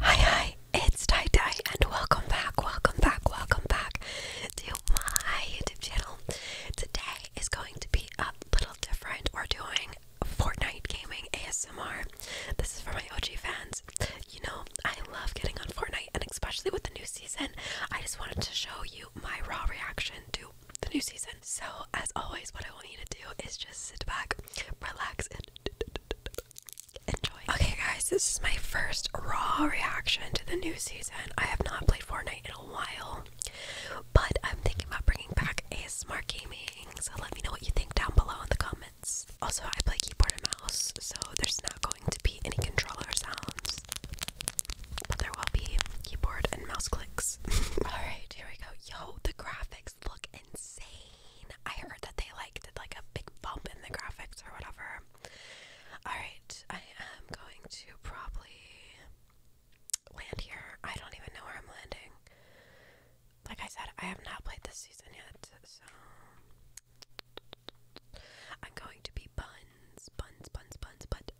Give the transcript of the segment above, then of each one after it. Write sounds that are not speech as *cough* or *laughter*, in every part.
Hi, hi, it's Tie and welcome back, welcome back, welcome back to my YouTube channel. Today is going to be a little different. We're doing Fortnite gaming ASMR this is for my OG fans. You know, I love getting on Fortnite, and especially with the new season, I just wanted to show you my raw reaction to the new season. So, as always, what I want you to do is just sit back, relax, and enjoy. Okay, guys, this is my first raw reaction to the new season. I have not played Fortnite in a while, but I'm thinking about bringing back a smart gaming. So, let me know what you think down below in the comments. Also, I play keyboard and mouse, so there's not going to be any controller sounds. But there will be keyboard and mouse clicks. *laughs* Alright, here we go. Yo, the graphics look insane. I heard that they like did like a big bump in the graphics or whatever. Alright, I am going to probably land here. I don't even know where I'm landing like I said, I have not played this season yet, so I'm going to be buns, buns, buns, buns, but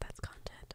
that's content.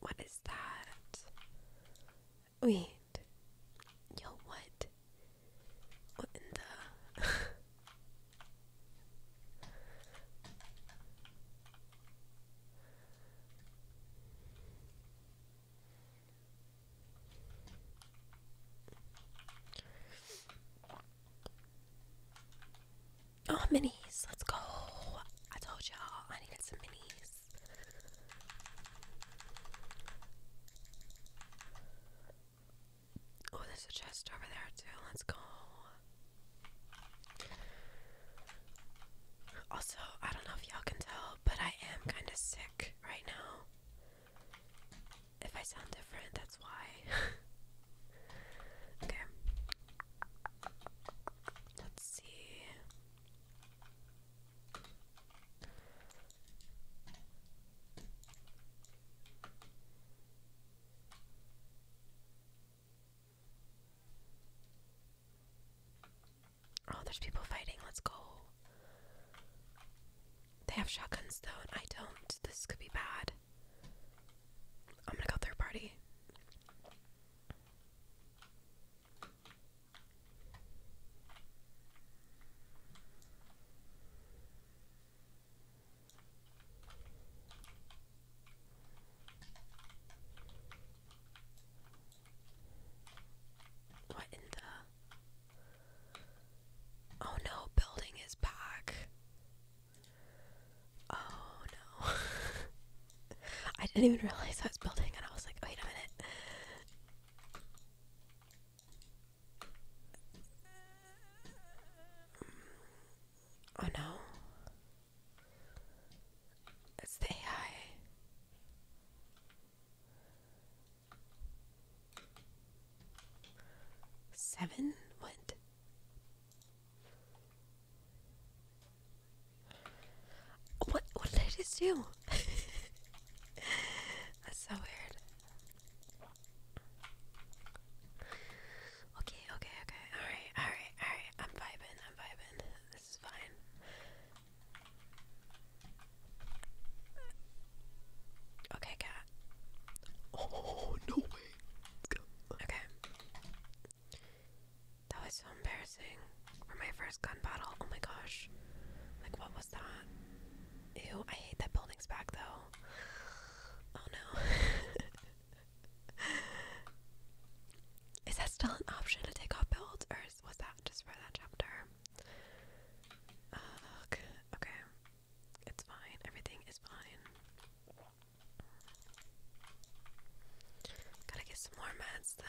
What is that? Wait. Yo, what? What in the. Oh, minis. Let's go. I told y'all I needed some minis. Oh, there's a chest over there, too. Let's go. Also, I don't know if y'all can tell, but I am kind of sick right now. If I sound different, that's why. *laughs* okay. Let's see. Oh, there's people fighting. Let's go. They have shotguns though, I don't. This could be bad. I'm gonna go third party. What in the? Oh no, building is back. Oh no. *laughs* I didn't even realize I was building and I was like, wait a minute. Oh no. It's the Seven? What? What, what did I just do? *laughs* That's so weird. Okay, okay, okay. Alright, alright, alright. I'm vibing, I'm vibing. This is fine. Okay, cat. Oh, no way. Okay. That was so embarrassing. For my first gun battle. Oh my gosh. Like, what was that? Ew, I hate that building's back though. Oh no. *laughs* is that still an option to take off builds, or was that just for that chapter? Ugh, okay. It's fine. Everything is fine. Gotta get some more meds then.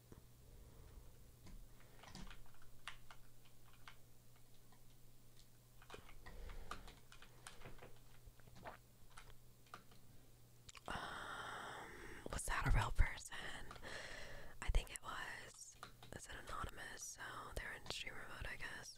Um, was that a real person? I think it was. Is it anonymous? So they're in streamer mode, I guess.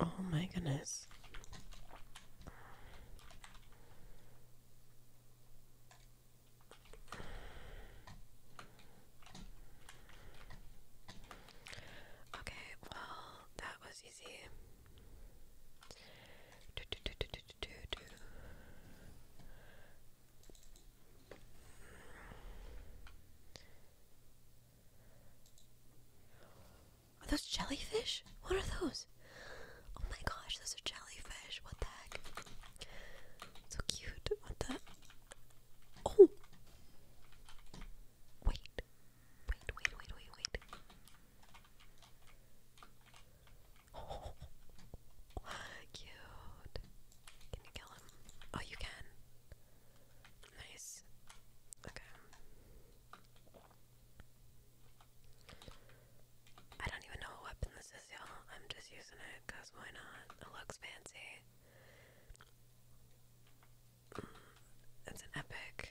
Oh my goodness. Okay, well, that was easy. Are those jellyfish? What are those? Oh my gosh, those are jellyfish. What the heck? So cute. What the? Oh! Wait. Wait, wait, wait, wait, wait. Oh. *laughs* Cute. Can you kill him? Oh, you can. Nice. Okay. I don't even know what weapon this is, y'all. I'm just using it because why not? It looks fancy. Mm, it's an epic.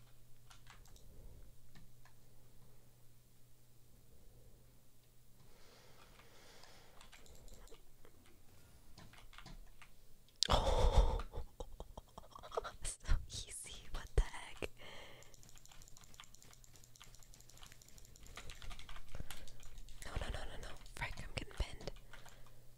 Oh, *laughs* so easy. What the heck? No, no, no, no, no. Frick, I'm getting pinned.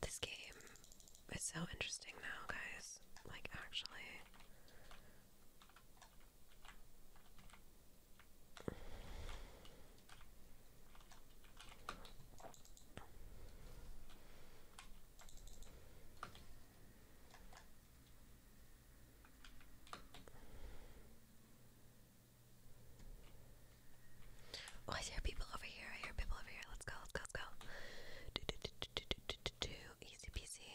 This game is so interesting now, guys. Like, actually. Oh, I hear people over over here. I hear people over here. Let's go, let's go, let's go. Do, do, do, do, do, do, do, do. Easy peasy.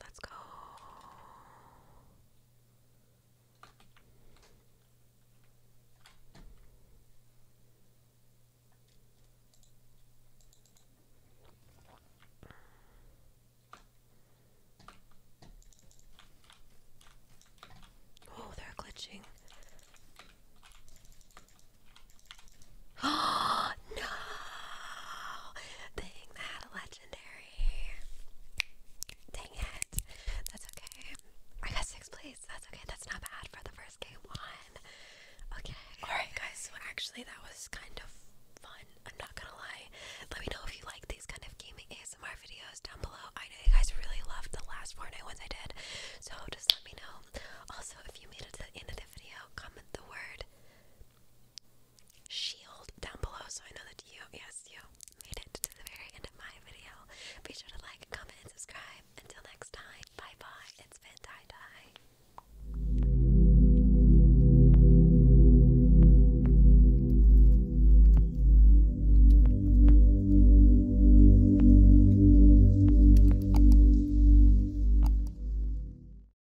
Let's go. Oh, they're glitching. Oh *gasps* no! Dang that, let legendary. Dang it. That's okay. I got sixth place. That's okay. That's not bad for the first game one. Okay. Alright, guys. So, actually, that was kind of fun. I'm not gonna lie. Let me know if you like these kind of gaming ASMR videos down below. I know you guys really loved the last Fortnite ones I did. So, just let me know. Also, if you made it to the end of the video, comment the word shield down below so I know that you, yes, you made it to the very end of my video. Be sure to like, comment, and subscribe. Until next time, bye bye. It's been